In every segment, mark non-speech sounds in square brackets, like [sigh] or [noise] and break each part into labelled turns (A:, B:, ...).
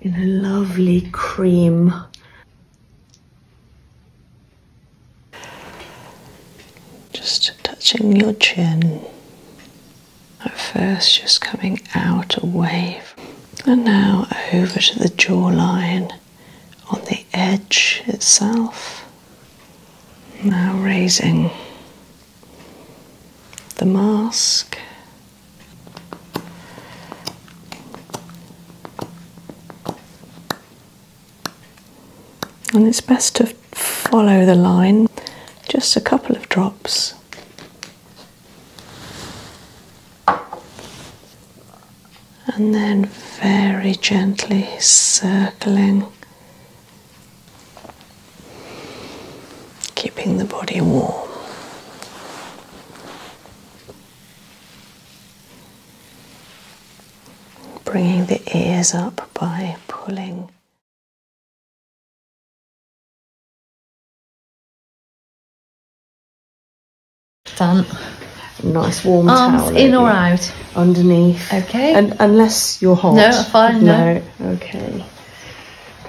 A: in a lovely cream. Just touching your chin at first, just coming out a wave, and now over to the jawline on the edge itself. Now raising the mask. And it's best to follow the line, just a couple of drops. And then very gently circling keeping the body warm. Bringing the ears up by pulling done. Nice warm Arms in or out? Underneath. Okay. unless you're hot. No, fine. no. Okay.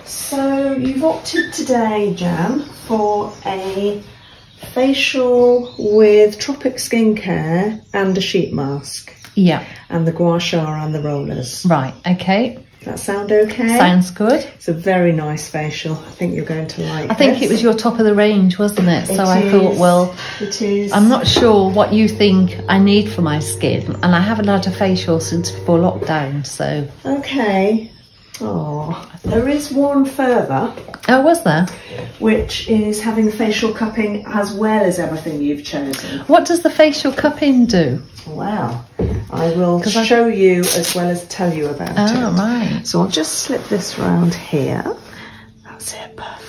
A: So you've opted today, Jan, for a facial with Tropic Skincare and a sheet mask. Yeah. And the gua sha and the rollers. Right, okay. that sound okay? Sounds good. It's a very nice facial. I think you're going to like I think it was your top of the range, wasn't it? so I thought, well, it is. I'm not sure what you think I need for my skin. And I haven't had a facial since before lockdown, so Okay. Oh, there is one further. Oh, was there? Which is having facial cupping as well as everything you've chosen. What does the facial cupping do? Well, I will show I... you as well as tell you about oh, it. Oh, right. So I'll just slip this round here. That's it, perfect.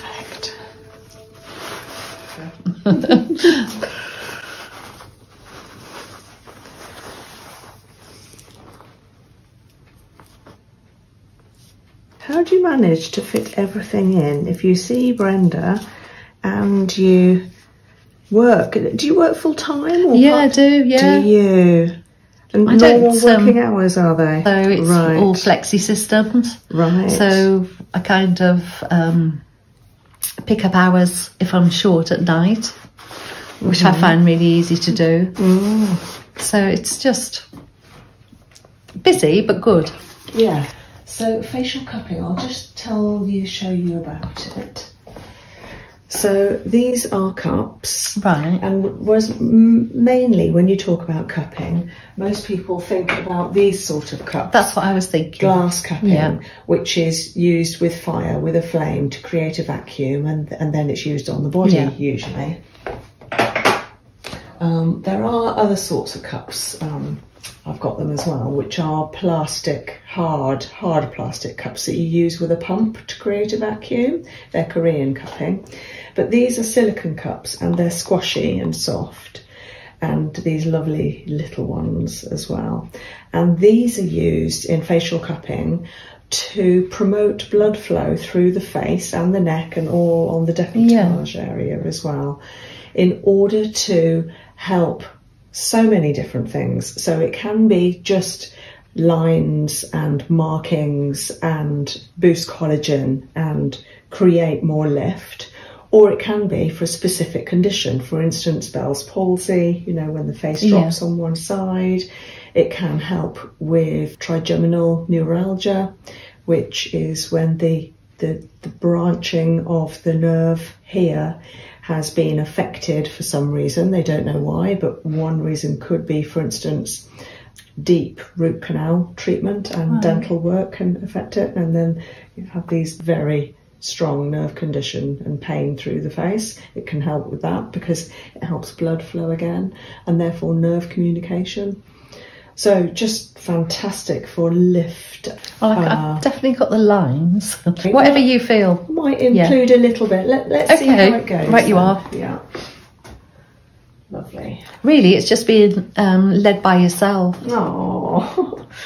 A: [laughs] How do you manage to fit everything in? If you see Brenda and you work, do you work full time? yeah, I do. Yeah. Do you? And I normal working um, hours are they? So it's all flexi systems. Right. So a kind of um, pick up hours if I'm short at night, which I mm. find really easy to do. Mm. So it's just busy but good. Yeah. So facial cupping, I'll just tell you, show you about it. So these are cups. Right. And was mainly when you talk about cupping, most people think about these sort of cups. That's what I was thinking. Glass cupping which is used with fire, with a flame to create a vacuum, and, and then it's used on the body usually. Um, there are other sorts of cups. Um, I've got them as well, which are plastic, hard, hard plastic cups that you use with a pump to create a vacuum. They're Korean cupping. But these are silicone cups and they're squashy and soft and these lovely little ones as well. And these are used in facial cupping to promote blood flow through the face and the neck and all on the decolletage area as well in order to help so many different things. So it can be just lines and markings and boost collagen and create more lift or it can be for a specific condition. For instance, Bell's palsy, you know, when the face drops on one side. It can help with trigeminal neuralgia, which is when the, the, branching of the nerve here has been affected for some reason. They don't know why, but one reason could be, for instance, deep root canal treatment and dental work can affect it. And then you have these very strong nerve condition and pain through the face. It can help with that because it helps blood flow again and therefore nerve communication. So just fantastic for lift. Oh, uh, I've, definitely got the lines. Whatever you feel. Might include a little bit. Let, let's see how it goes. Right, you are. Yeah. Lovely. Really, it's just being um, led by yourself. Oh. [laughs]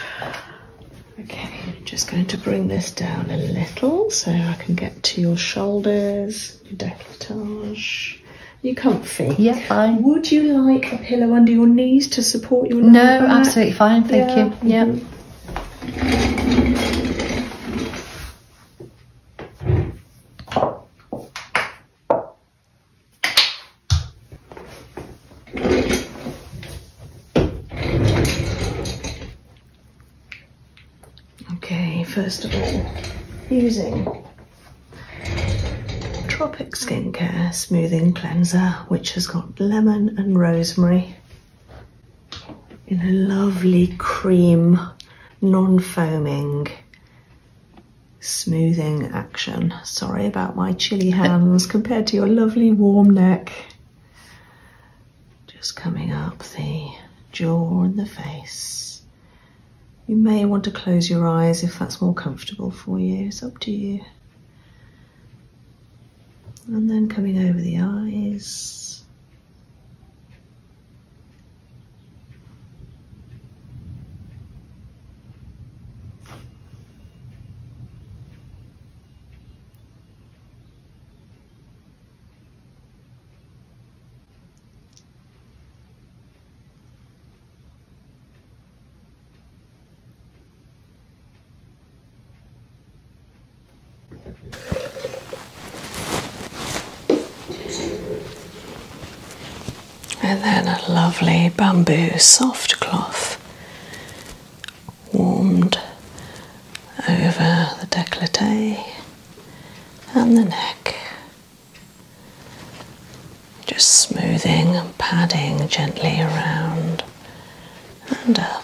A: Okay, just going to bring this down a little so I can get to your shoulders, your decolletage. You comfy? Yeah, fine. Would you like a pillow under your knees to support your? No, absolutely fine. Thank you. Yeah. Okay, first of all, using Tropic Skincare Smoothing Cleanser, which has got lemon and rosemary in a lovely cream, non-foaming smoothing action. Sorry about my chilly hands compared to your lovely warm neck. Just coming up the jaw and the face. You may want to close your eyes if that's more comfortable for you. It's up to you. And then coming over the eyes. And then a lovely bamboo soft cloth warmed over the décolleté and the neck. Just smoothing and padding gently around and up.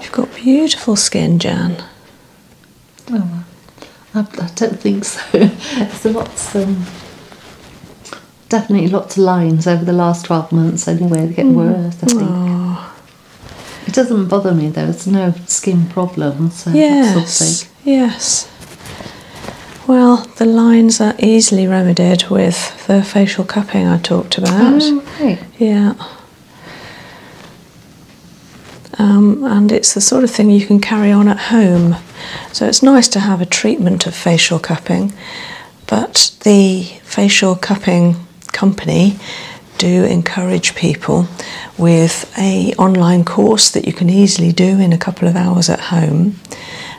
A: You've got beautiful skin, Jan. Oh, I, don't think so. [laughs] There's a lot, um, definitely lots of lines over the last 12 months, anyway, they get mm. worse, oh. It doesn't bother me though, It's no skin problem, yes, Yes. Well, the lines are easily remedied with the facial cupping I talked about. Oh, yeah. Um, and it's the sort of thing you can carry on at home. So it's nice to have a treatment of facial cupping, but the facial cupping company do encourage people with a online course that you can easily do in a couple of hours at home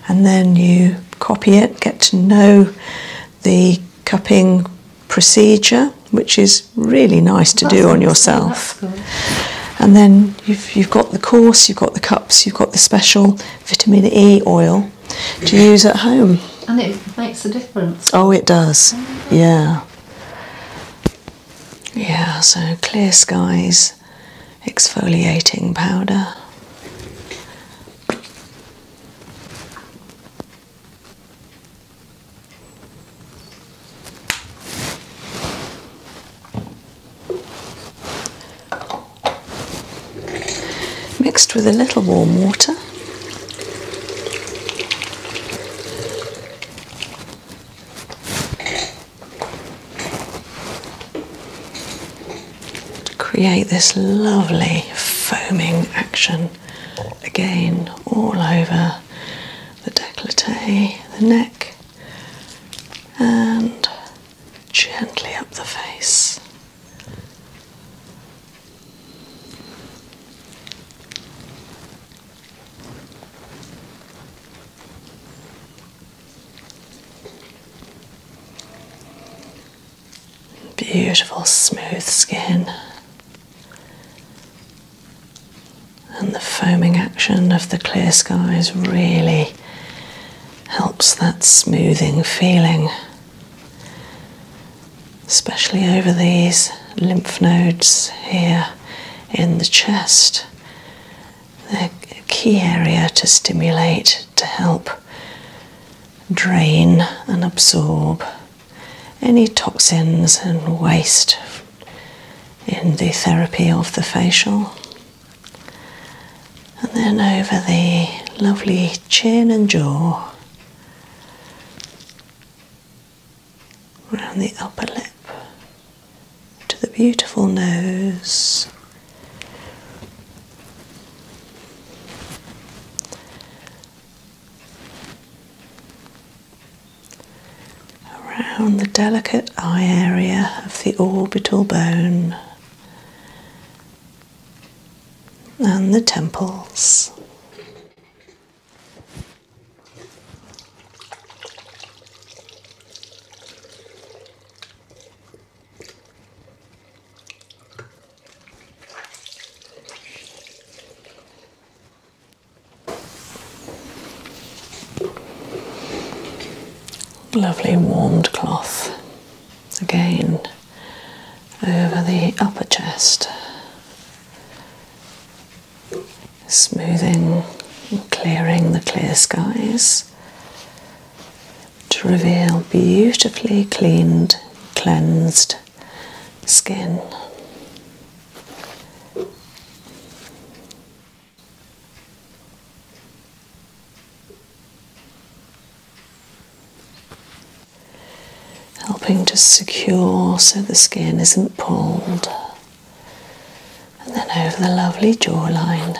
A: and then you copy it, get to know the cupping procedure, which is really nice to do on yourself. And then you've, got the course, you've got the cups, you've got the special vitamin E oil to use at home. And it makes a difference. Oh, it does. Oh, yeah. Yeah, so clear skies exfoliating powder. Mixed with a little warm water create this lovely foaming action again all over the decollete, the neck, and gently up the face. Beautiful, smooth skin. And the foaming action of the clear skies really helps that smoothing feeling, especially over these lymph nodes here in the chest. They're a key area to stimulate to help drain and absorb any toxins and waste in the therapy of the facial. And then over the lovely chin and jaw, around the upper lip to the beautiful nose, Around the delicate eye area of the orbital bone and the temples. Lovely warmed cloth again over the upper chest, smoothing clearing the clear skies to reveal beautifully cleaned, cleansed skin. Helping to secure so the skin isn't pulled, and then over the lovely jawline.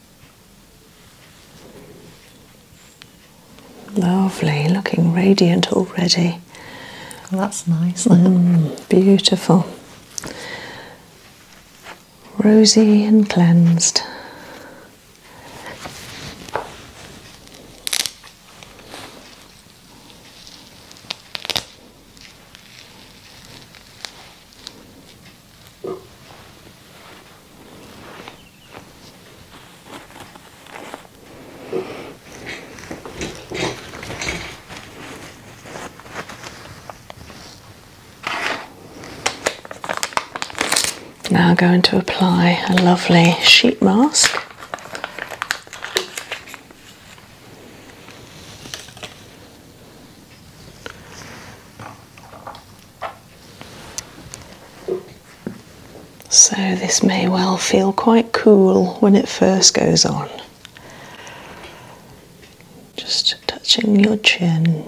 A: Lovely, looking radiant already. that's nice. Mm, beautiful. Rosy and cleansed. Now going to apply a lovely sheet mask. So, this may well feel quite cool when it first goes on. Just touching your chin.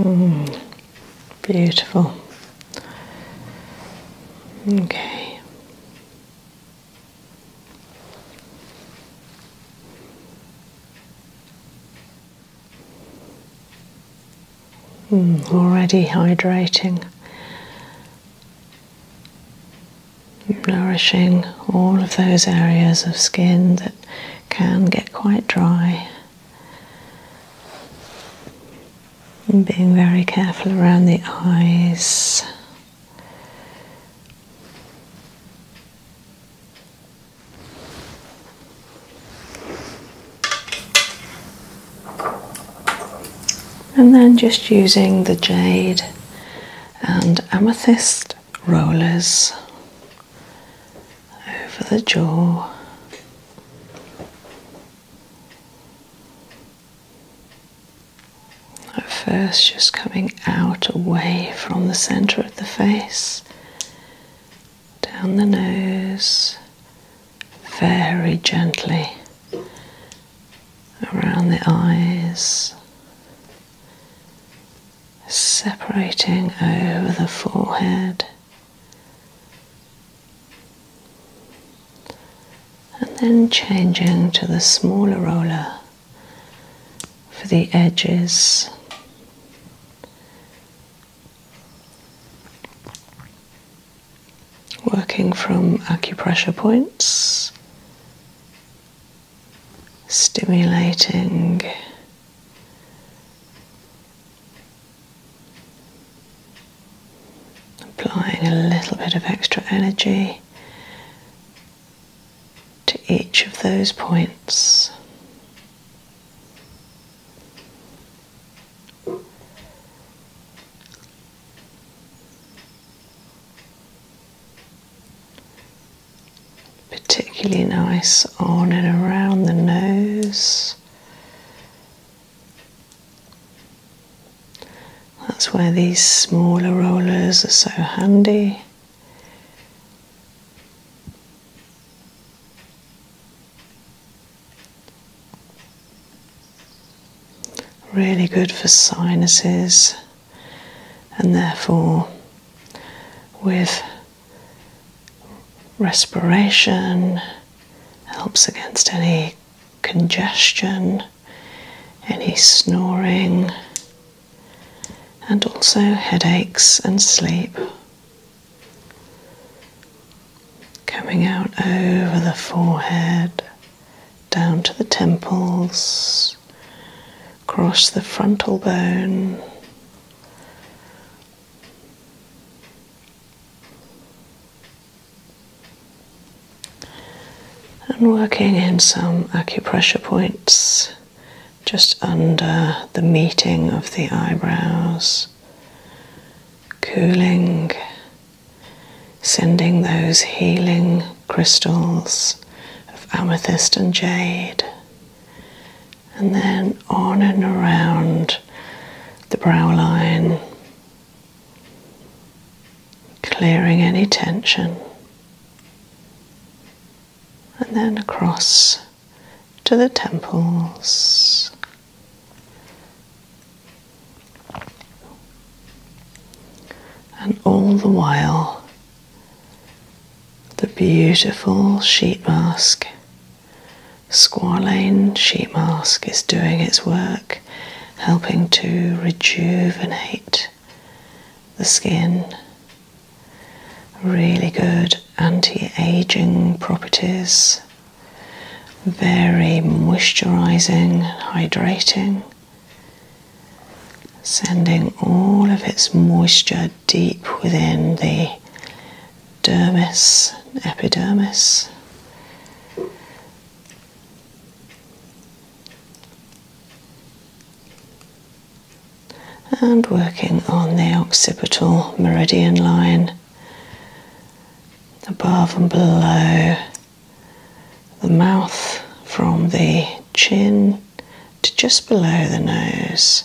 A: Mm, beautiful. Okay. Hmm, already hydrating, nourishing all of those areas of skin that can get quite dry. And being very careful around the eyes. And then just using the jade and amethyst rollers over the jaw. At first, just coming out away from the center of the face, down the nose, very gently around the eyes, separating over the forehead. And then changing to the smaller roller for the edges. Working from acupressure points, stimulating applying a little bit of extra energy to each of those points. Particularly nice on and around the nose. That's where these smaller rollers are so handy. Really good for sinuses, and therefore, with respiration, helps against any congestion, any snoring and also headaches and sleep. Coming out over the forehead, down to the temples, across the frontal bone. And working in some acupressure points just under the meeting of the eyebrows, cooling, sending those healing crystals of amethyst and jade, and then on and around the brow line, clearing any tension and then across to the temples. And all the while, the beautiful sheet mask, squalane sheet mask, is doing its work, helping to rejuvenate the skin Really good anti aging properties, very moisturizing, hydrating, sending all of its moisture deep within the dermis, epidermis and working on the occipital meridian line above and below the mouth from the chin to just below the nose.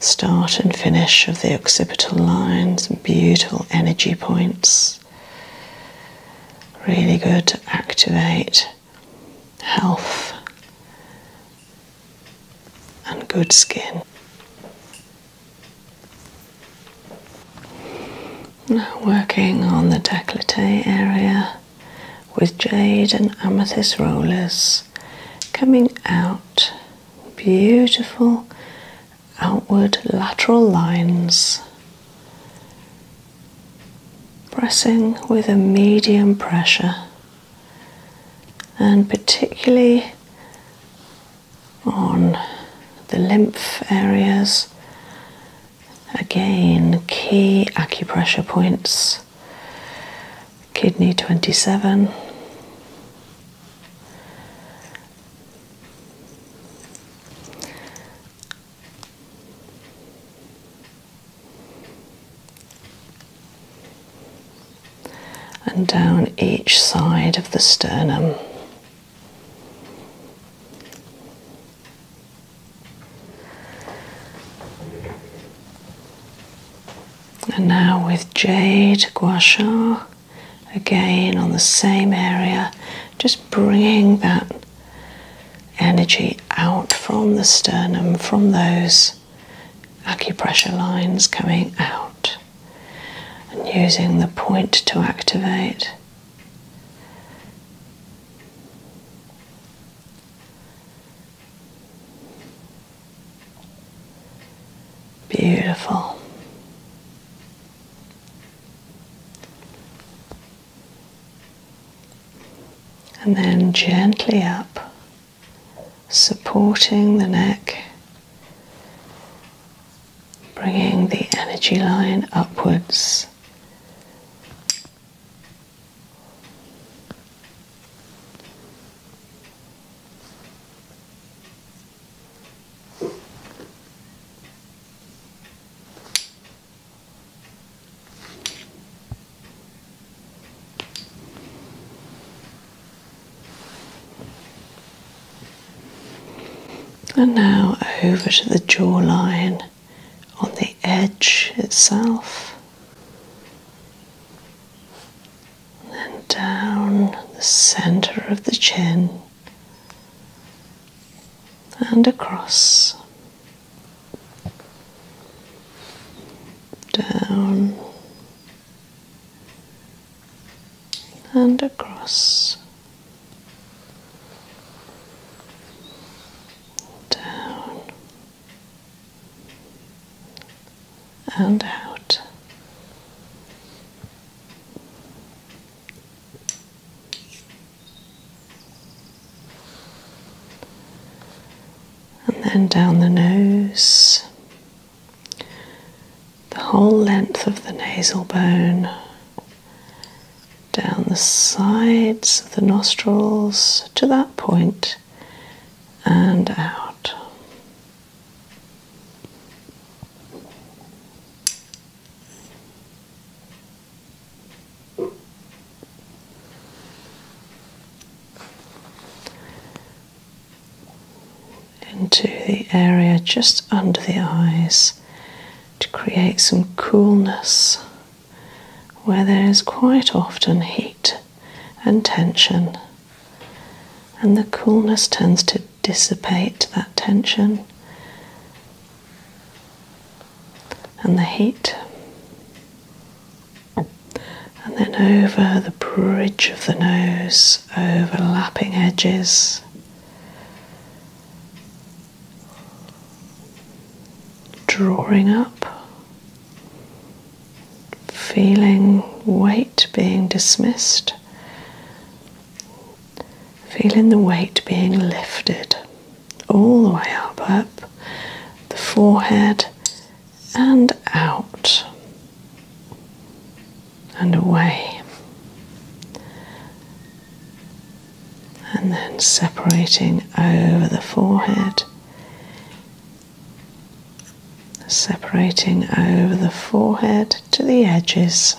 A: Start and finish of the occipital lines, beautiful energy points. Really good to activate health and good skin. Now working on the décolleté area with jade and amethyst rollers coming out beautiful outward lateral lines pressing with a medium pressure and particularly on the lymph areas. Again, key acupressure points kidney 27 and down each side of the sternum. And now with jade gua sha, again on the same area, just bringing that energy out from the sternum, from those acupressure lines coming out, and using the point to activate. Beautiful and then gently up, supporting the neck, bringing the energy line upwards. And now over to the jawline on the edge itself, and then down the center of the chin and across down and across down and out and then down the nose, the whole length of the nasal bone, down the sides of the nostrils to that point and out into the area just under the eyes to create some coolness where there is quite often heat and tension, and the coolness tends to dissipate that tension and the heat, and then over the bridge of the nose, overlapping edges. Drawing up, feeling weight being dismissed, feeling the weight being lifted all the way up, up the forehead and out and away, and then separating over the forehead, separating over the forehead to the edges.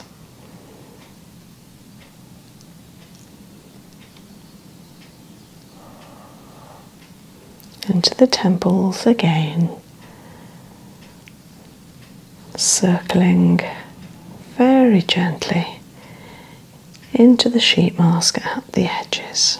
A: Into the temples again, circling very gently into the sheet mask at the edges.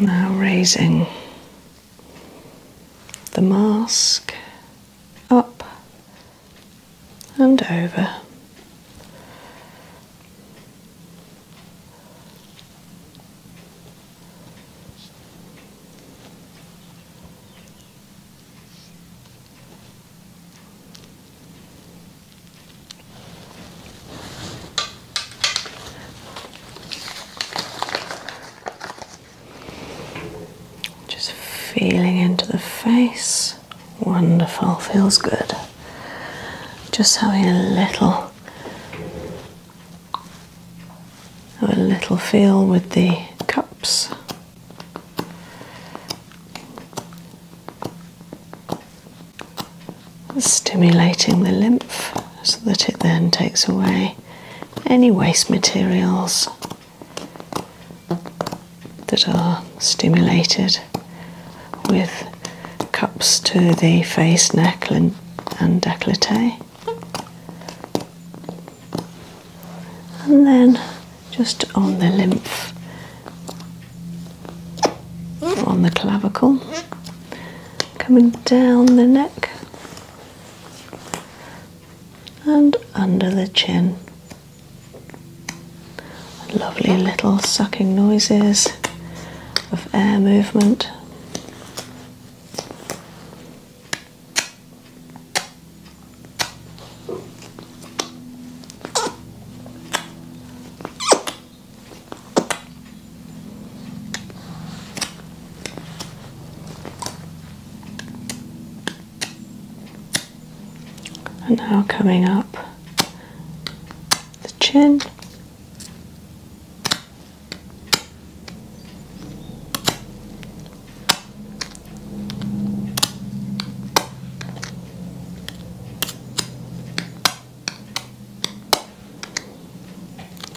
A: Now raising the mask up and over. Just feeling into the face. Wonderful, feels good. Just having a little a little feel with the cups stimulating the lymph so that it then takes away any waste materials that are stimulated with cups to the face, neck, and, and decollete. And then just on the lymph on the clavicle, coming down the neck and under the chin. Lovely little sucking noises of air movement. And now coming up the chin.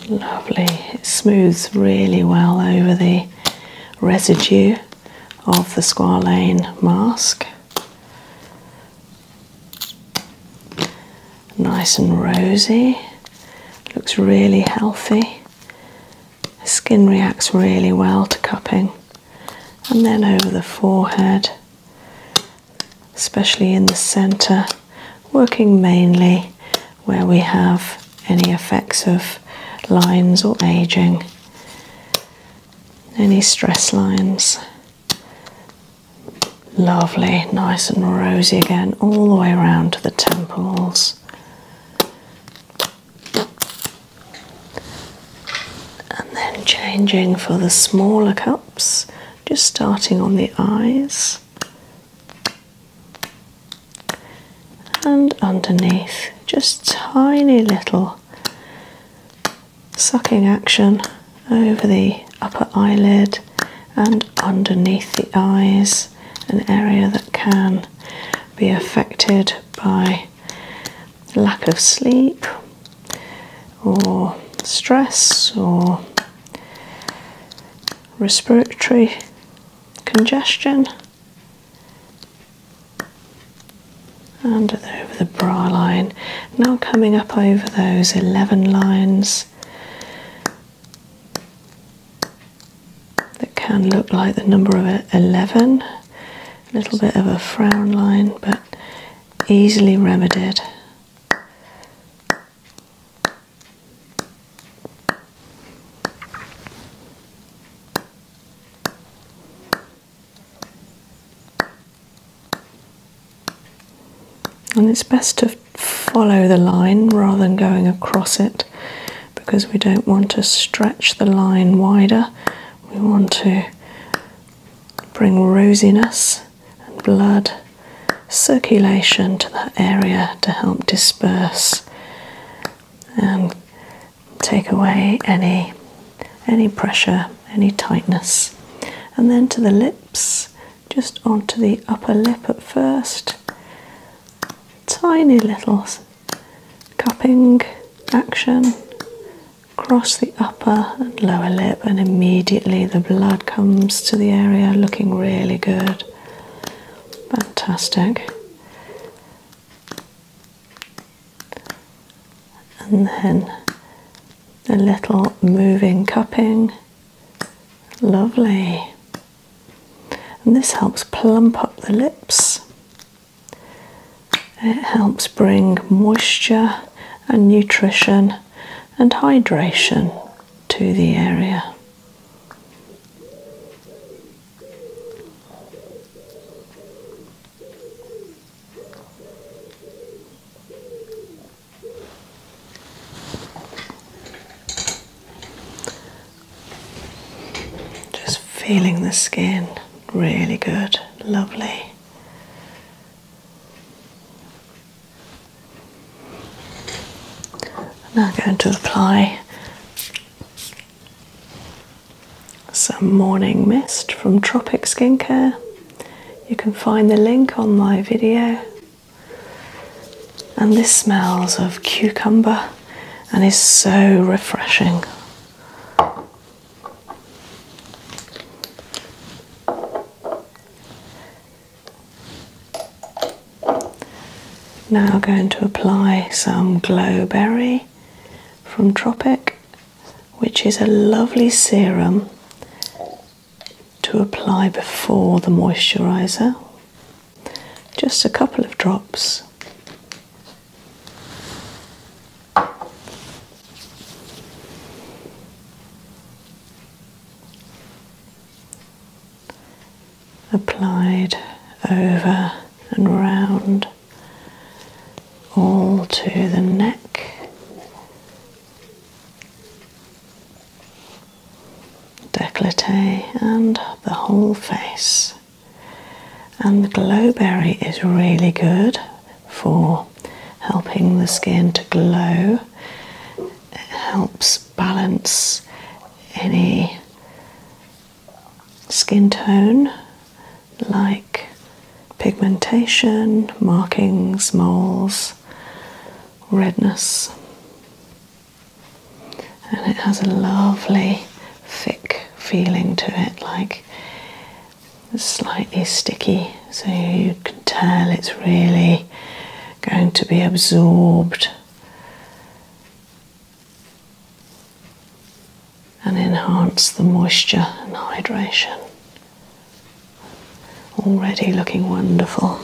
A: Lovely, it smooths really well over the residue of the squalane mask. Nice and rosy, looks really healthy. skin reacts really well to cupping, and then over the forehead, especially in the center, working mainly where we have any effects of lines or aging, any stress lines. Lovely, nice and rosy again, all the way around to the temples. And then changing for the smaller cup. Just starting on the eyes and underneath, just tiny little sucking action over the upper eyelid and underneath the eyes, an area that can be affected by lack of sleep or stress or respiratory congestion under over the bra line. Now coming up over those 11 lines that can look like the number of 11, a little bit of a frown line, but easily remedied. And it's best to follow the line rather than going across it because we don't want to stretch the line wider. We want to bring rosiness and blood circulation to that area to help disperse and take away any any pressure, any tightness. And then to the lips, just onto the upper lip at first. Tiny little cupping action across the upper and lower lip, and immediately the blood comes to the area looking really good. Fantastic. And then a little moving cupping. Lovely. And this helps plump up the lips. It helps bring moisture and nutrition and hydration to the area. Just feeling the skin really good, lovely. I'm now going to apply some morning mist from Tropic Skincare. You can find the link on my video. And this smells of cucumber and is so refreshing. Now going to apply some Glowberry from Tropic, which is a lovely serum to apply before the moisturiser. Just a couple of drops applied over and round all to the neck. Decollete and the whole face, and the glowberry is really good for helping the skin to glow. It helps balance any skin tone like pigmentation, markings, moles, redness. And it has a lovely thick feeling to it, like slightly sticky, so you can tell it's really going to be absorbed and enhance the moisture and hydration. Already looking wonderful.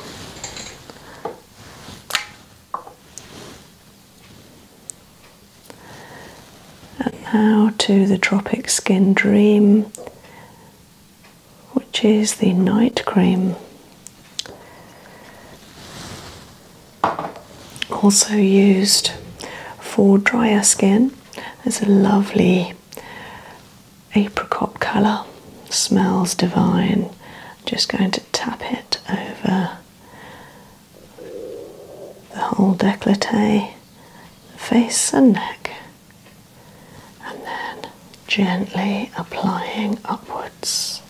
A: And now to the Tropic Skin Dream, which is the night cream. Also used for drier skin. It's a lovely apricot colour, smells divine. Just going to tap it over the whole decollete, face, and neck and then gently applying upwards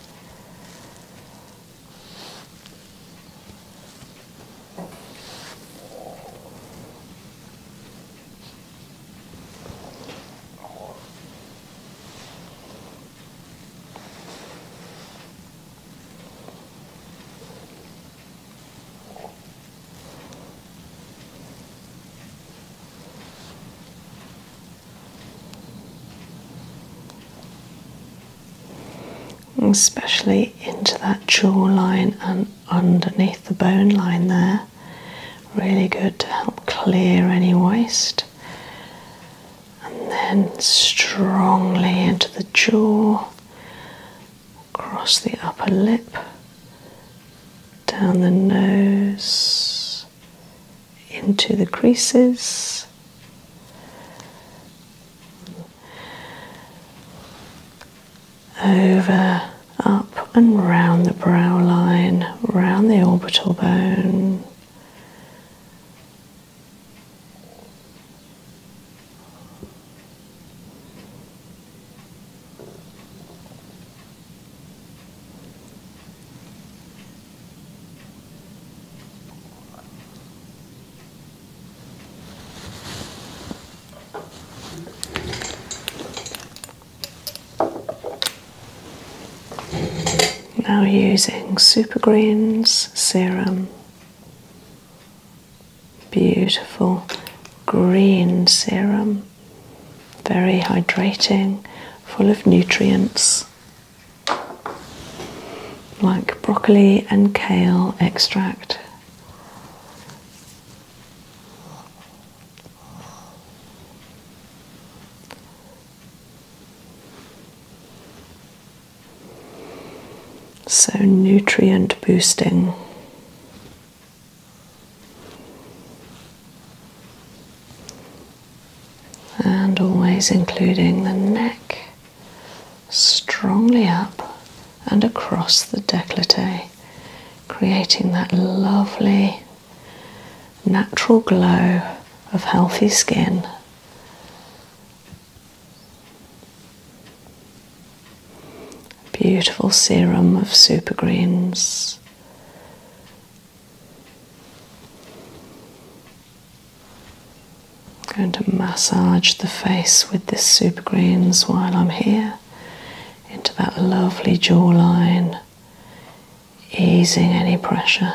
A: especially into that jawline and underneath the bone line there. Really good to help clear any waste. And then strongly into the jaw across the upper lip, down the nose, into the creases. Over, up, and round the brow line, round the orbital bone, now using Super Greens serum Beautiful green serum, very hydrating, full of nutrients like broccoli and kale extract. So, nutrient boosting. And always including the neck strongly up and across the décolleté, creating that lovely natural glow of healthy skin Beautiful serum of super greens. I'm going to massage the face with this super greens while I'm here into that lovely jawline, easing any pressure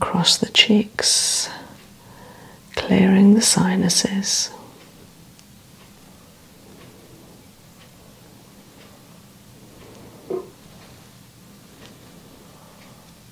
A: cross the cheeks, clearing the sinuses.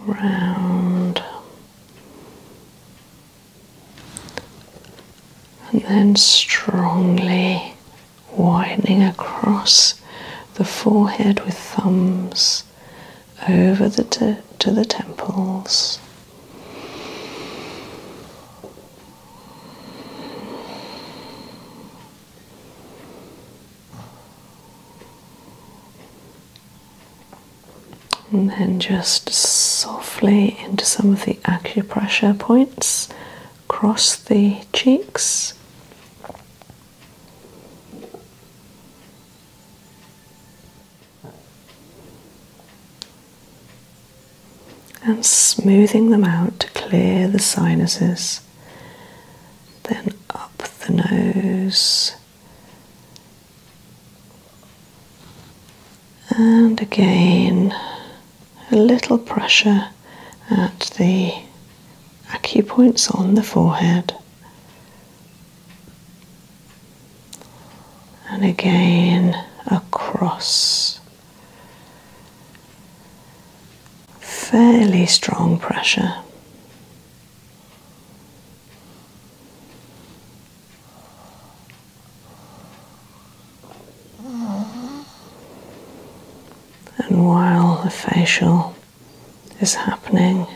A: round, and then strongly widening across the forehead with thumbs over the to the temples. And then just softly into some of the acupressure points across the cheeks. And smoothing them out to clear the sinuses then up the nose, and again a little pressure at the acupoints on the forehead. And again across. Fairly strong pressure. And while the facial is happening,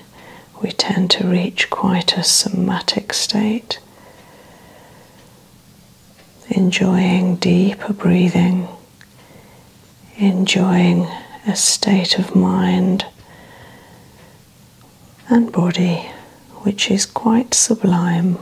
A: we tend to reach quite a somatic state, enjoying deeper breathing enjoying a state of mind and body which is quite sublime.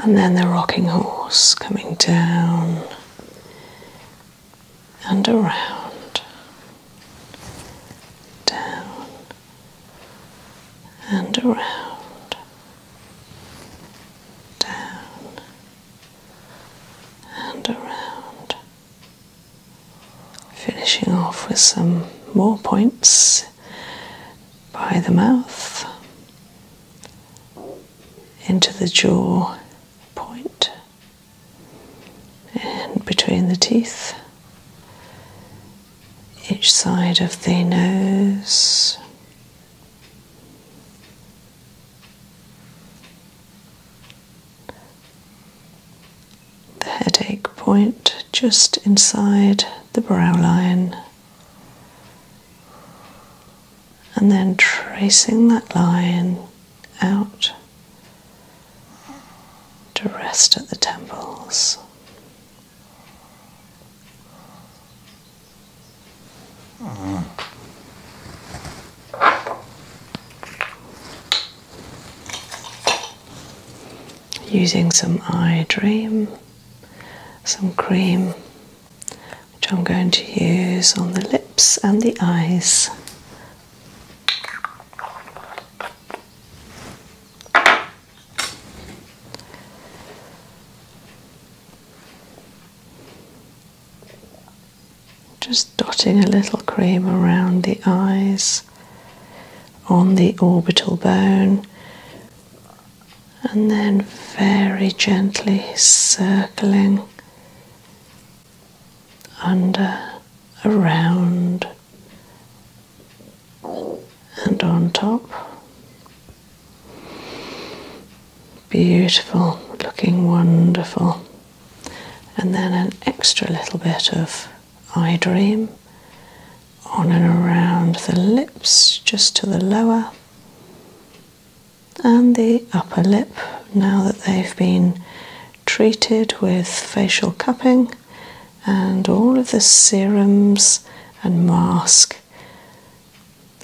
A: And then the rocking horse coming down and around, down and around, down and around. Finishing off with some more points by the mouth into the jaw point and between the teeth, each side of the nose the headache point just inside the brow line, and then tracing that line out to rest at the temples. Mm using some eye dream, some cream, which I'm going to use on the lips and the eyes just dotting a little cream around the eyes on the orbital bone, and then very gently circling under, around, and on top. Beautiful, looking wonderful and then an extra little bit of eye Dream on and around the lips, just to the lower and the upper lip. Now that they've been treated with facial cupping and all of the serums and mask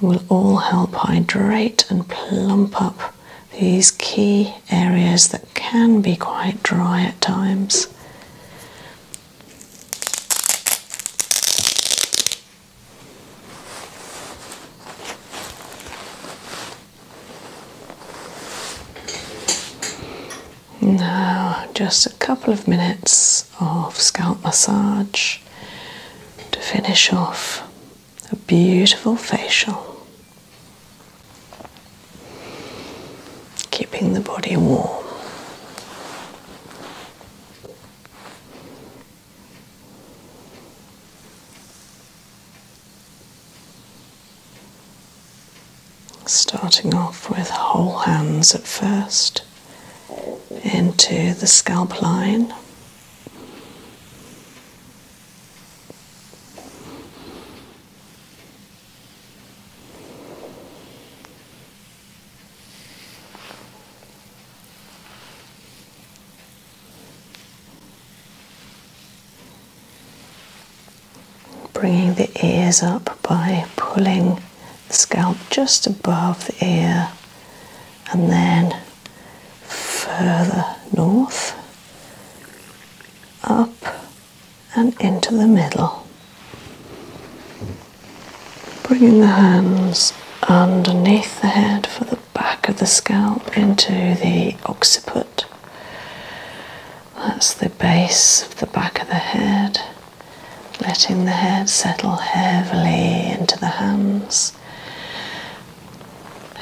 A: will all help hydrate and plump up these key areas that can be quite dry at times. Now, just a couple of minutes of scalp massage to finish off a beautiful facial, keeping the body warm. Starting off with whole hands at first into the scalp line, Bringing the ears up by pulling the scalp just above the ear and then further north up and into the middle, bringing the hands underneath the head for the back of the scalp into the occiput. That's the base of the back of the head, letting the head settle heavily into the hands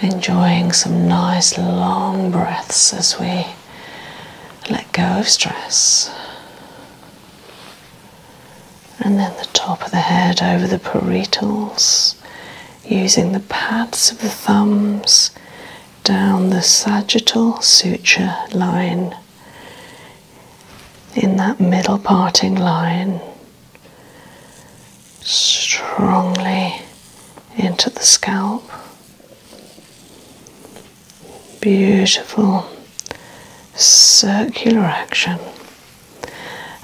A: enjoying some nice long breaths as we let go of stress. And then the top of the head over the parietals, using the pads of the thumbs down the sagittal suture line. In that middle parting line, strongly into the scalp. Beautiful circular action.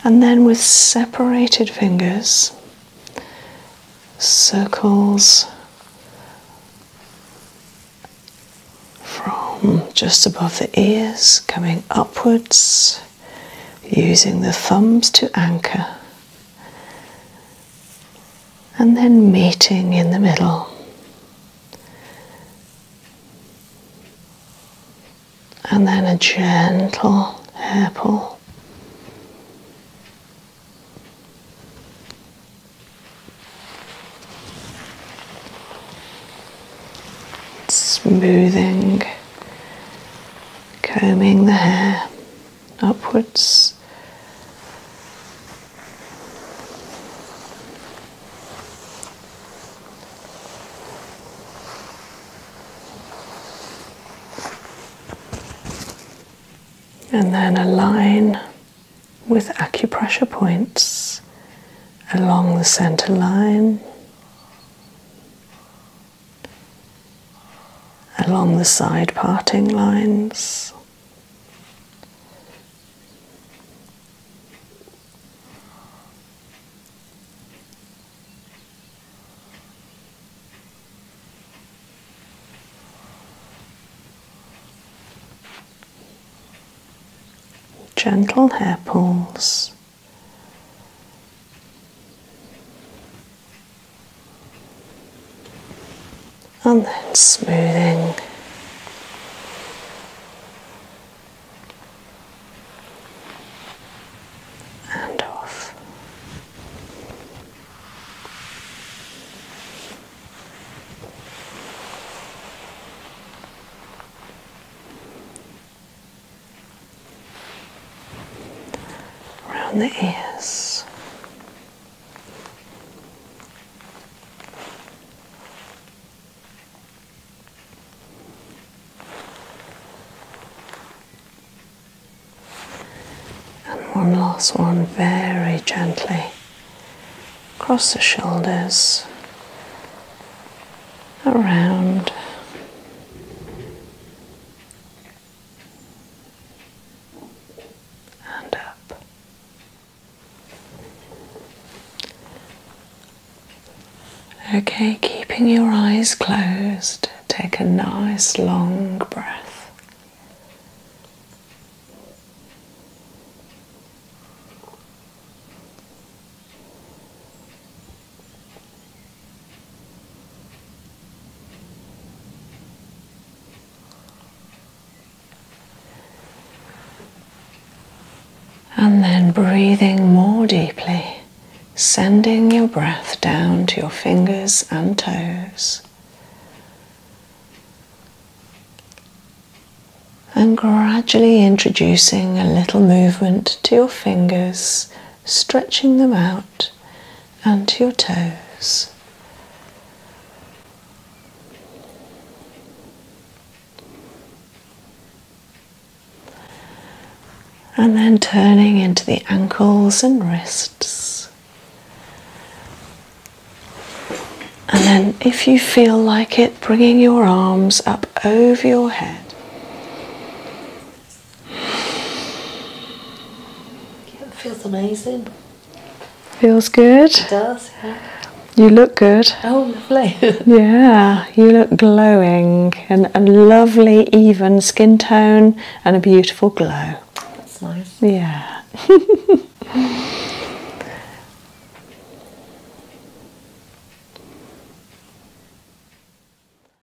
A: And then with separated fingers, circles from just above the ears coming upwards using the thumbs to anchor, and then meeting in the middle. And then a gentle hair pull. Smoothing, combing the hair upwards. And then a line with acupressure points along the center line along the side parting lines. Gentle hair pulls and then smoothing. And off around the ears. And one last one, very gently across the shoulders, around and up. Okay, keeping your eyes closed, take a nice long breath. And then breathing more deeply, sending your breath down to your fingers and toes. And gradually introducing a little movement to your fingers stretching them out and your toes. And then turning into the ankles and wrists. And then, if you feel like it, bringing your arms up over your head it feels amazing. Feels good. does, You look good. Oh, lovely. [laughs] yeah, you look glowing and a lovely, even skin tone and a beautiful glow. That's nice. Yeah.